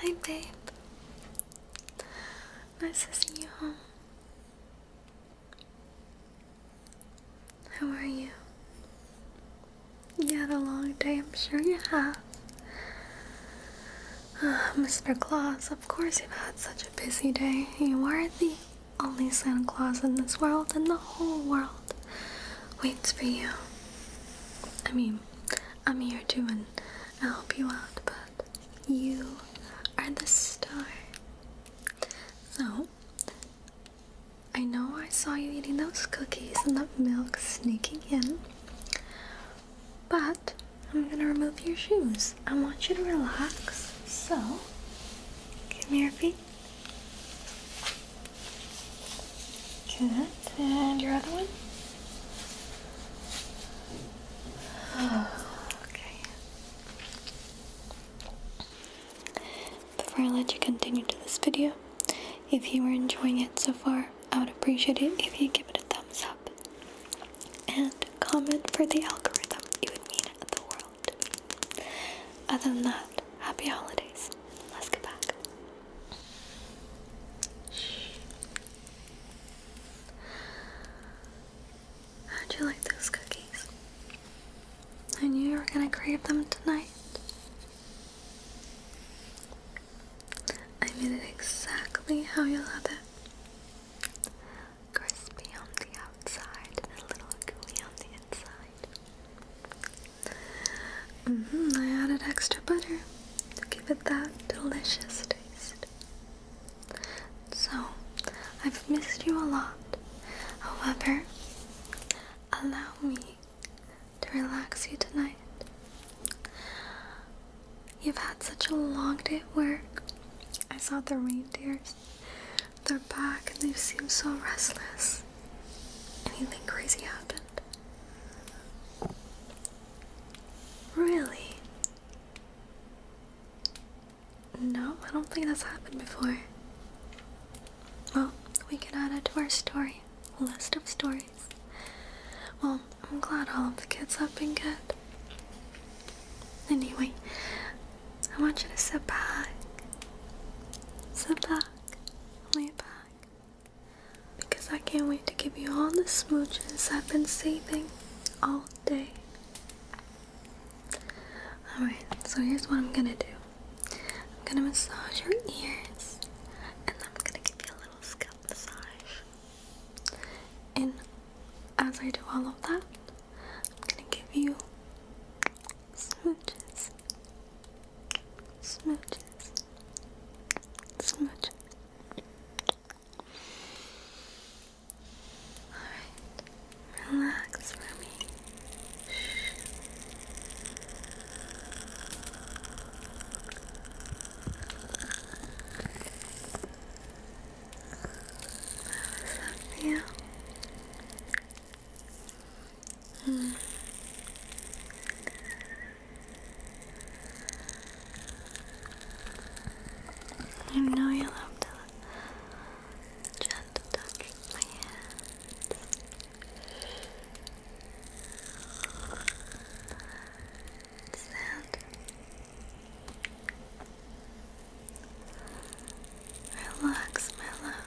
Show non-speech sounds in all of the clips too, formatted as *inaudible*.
Hi, babe. Nice to see you home. How are you? You had a long day, I'm sure you have. Uh, ah, Mr. Claus, of course you've had such a busy day. You are the only Santa Claus in this world, and the whole world waits for you. I mean, I'm here to and I'll help you out, but you are the star. So, I know I saw you eating those cookies and that milk sneaking in, but I'm gonna remove your shoes. I want you to relax, so give me your feet. Good. And your other one? okay. Before I let you continue to this video, if you are enjoying it so far, I would appreciate it if you give it a thumbs up and comment for the algorithm. It would mean the world. Other than that, happy holidays. Let's get back How'd you like those cookies? I knew you were gonna crave them tonight. I made it exactly how you love it. Crispy on the outside and a little gooey on the inside. Mm -hmm, I added extra butter to give it that delicious taste. So, I've missed you a lot. However, allow me to relax you tonight. You've had such a long day at work. I saw the reindeers. They're back and they seem so restless. Anything crazy happened? Really? No, I don't think that's happened before. Well, we can add it to our story. A list of stories. Well, I'm glad all of the kids have been good. Anyway, I want you to sit back. Sit back. Lay back because I can't wait to give you all the smooches I've been saving all day. Alright, so here's what I'm gonna do I'm gonna massage your ears and I'm gonna give you a little scalp massage. And as I do all of that, I'm gonna give you smooches. Smooches. Smooches. Alright, relax for me. How does that feel? Mm. I know you love to just touch my hands. Sound relax, my love.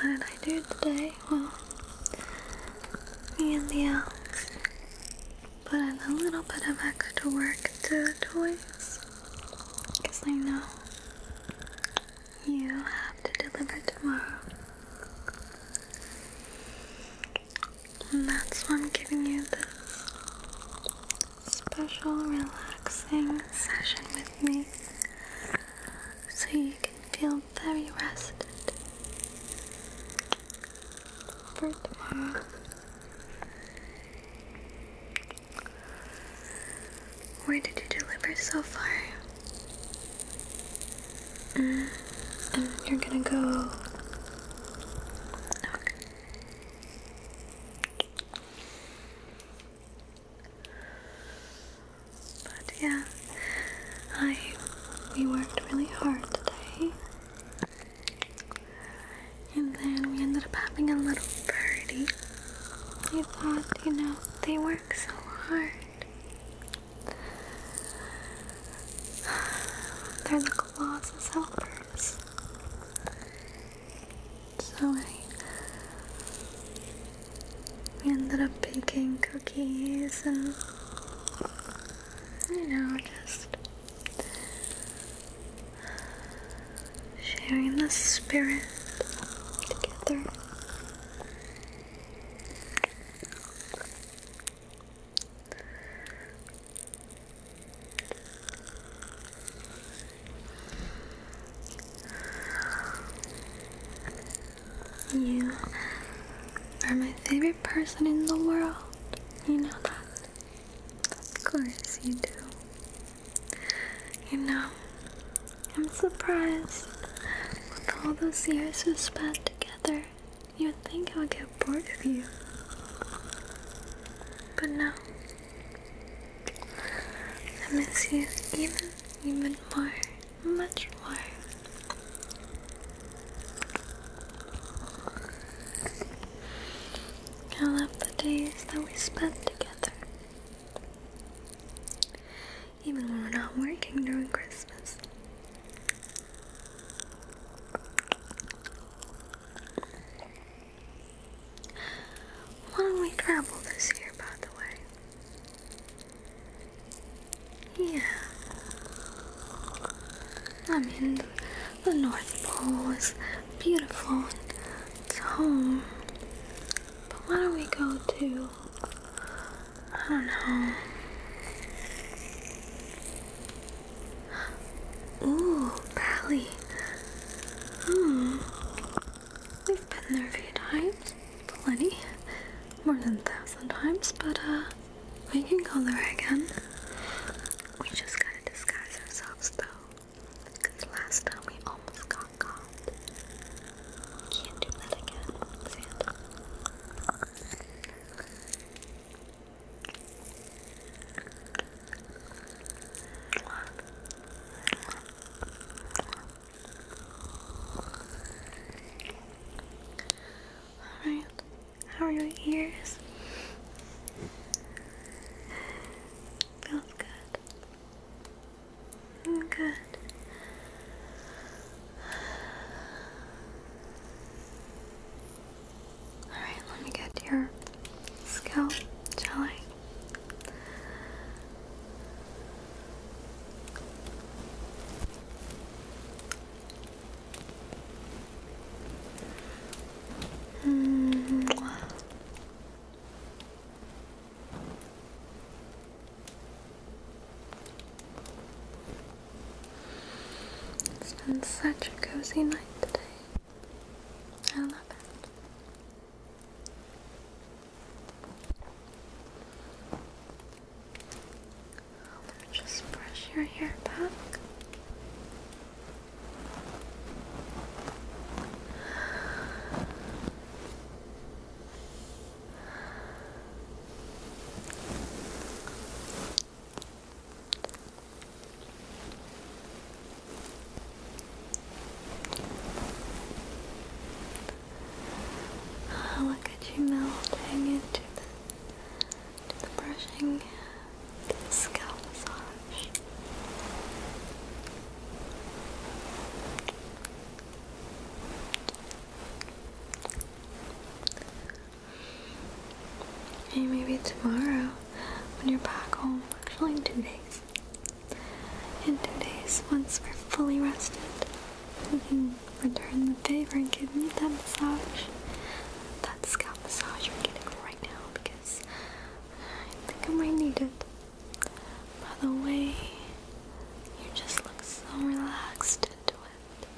What did I do today? Well, me and the elves put in a little bit of extra work to the toys. Because I know you have to deliver tomorrow. And that's why I'm giving you this special relaxing session with me so you can feel very rested for tomorrow. Where did you deliver so far? Mm, um, you're gonna go. But yeah, I we worked really hard today and then we ended up having a little party. I thought, you know, they work so hard. *sighs* They're the of helpers. So I we ended up baking cookies and you know, just sharing the spirit together. You are my favorite person in the world. You know that. Of course you do. You know, I'm surprised. With all those years we spent together, you'd think I would get bored of you. But no. I miss you even, even more. Much more. I love the days that we spent together. Even when we're not working during Christmas. Why don't we travel this year, by the way? Yeah. I mean, the North Pole beautiful. It's home. But why don't we go to, I don't know. Ooh, Bali. Hmm. We've been there a few times. Plenty. More than a thousand times, but uh, we can go there again. We just gotta disguise ourselves though. Because last time we almost got caught. Can't do that again, Santa. how are your ears? Feels good. Good. Alright, let me get your scalp, shall -hmm. It's been such a cozy night today. I love it. just brush your hair back. Oh, look at you melting into the, the brushing the massage. And maybe tomorrow when you're back home, actually two days. In two days, once we're fully rested, we can return the favor and give me that massage. That scalp massage you're getting right now because I think I might need it. By the way, you just look so relaxed into it.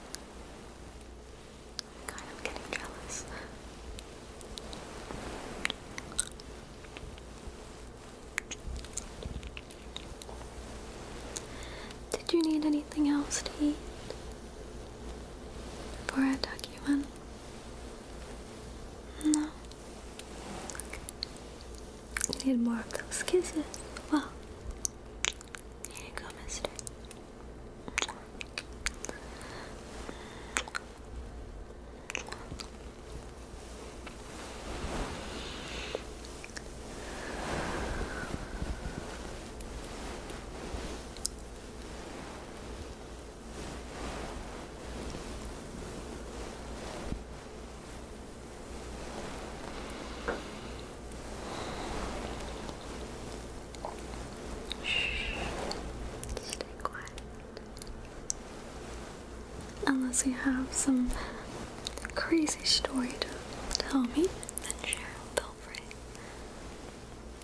kind of getting jealous. Did you need anything else to eat For I tuck you no. You need more of those kisses. Well, here you go, mister. Shh. Stay quiet. Unless you have some crazy story to tell me, then share. Feel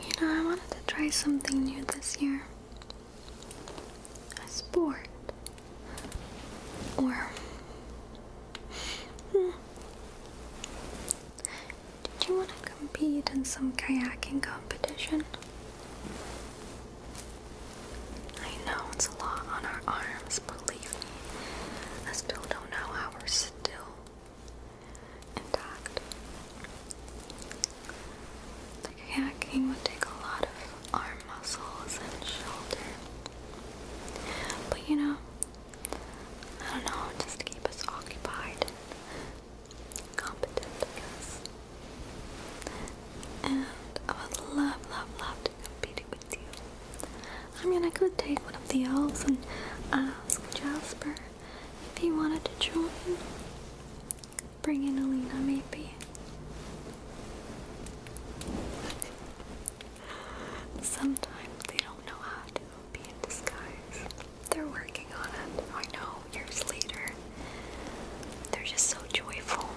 You know, I wanted to try something new this year. A sport. Or. Hmm. Did you want to compete in some kayaking competition? I know it's a lot on our arms, believe me. I still don't know how we're still intact. Like hacking would take a lot of arm muscles and shoulder. But you know, I don't know, just to keep us occupied and I guess. And I would love, love, love to compete with you. I mean, I could take one of the elves and ask Jasper if he wanted to join. Bring in Alina, maybe. Sometimes they don't know how to be in disguise. They're working on it. I know, years later. They're just so joyful.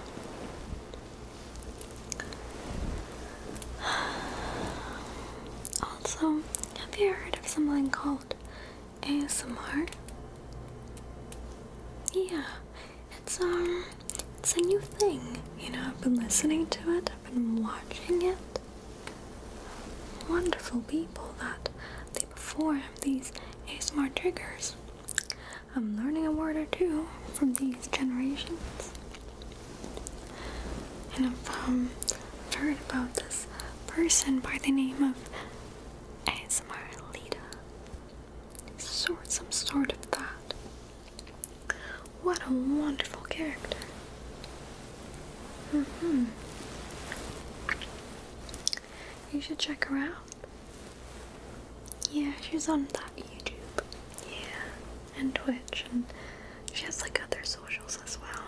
*sighs* Also, have you heard of something called ASMR? Yeah, it's um, it's a new thing. You know, I've been listening to it. I've been watching it. Wonderful people that they before these ASMR triggers. I'm learning a word or two from these generations, and I've um, heard about this person by the name of ASMR Lita. Sort some sort of that. What a wonderful character. Mm-hmm. You should check her out. Yeah, she's on that YouTube. Yeah, and Twitch, and she has like other socials as well.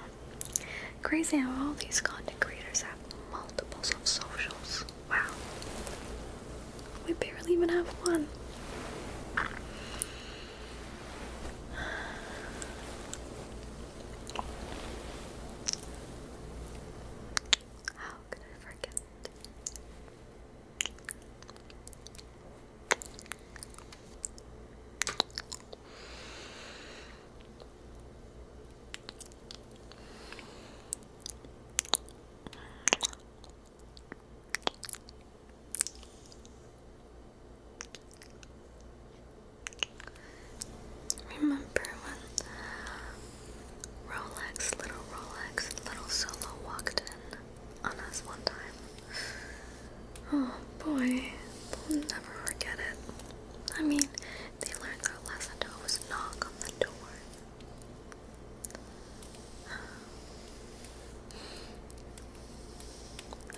Crazy how all these content creators have multiples of socials. Wow. We barely even have one. How could I forget? Remember when Rolex, little Rolex, little Solo walked in on us one time? Oh boy, we will never forget it. I mean, they learned their lesson to always knock on the door. *sighs*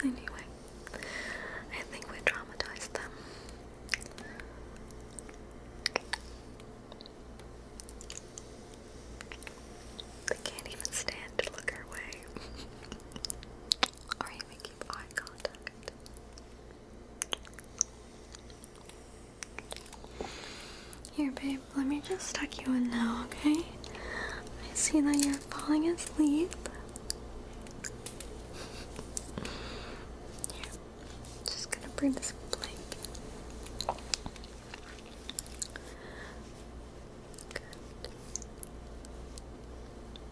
Anyway, I think we traumatized them. They can't even stand to look our way. *laughs* or even here, babe, let me just tuck you in now, okay? I see that you're falling asleep. just gonna bring this blanket.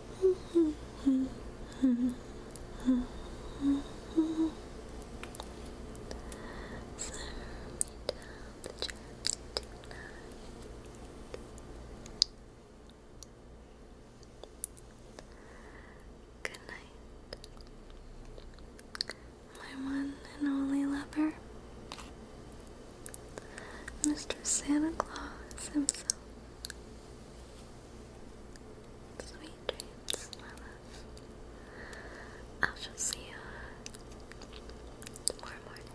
Good night, my one and only lover, Mr. Santa Claus himself. Sweet dreams, my love. I shall see you tomorrow morning.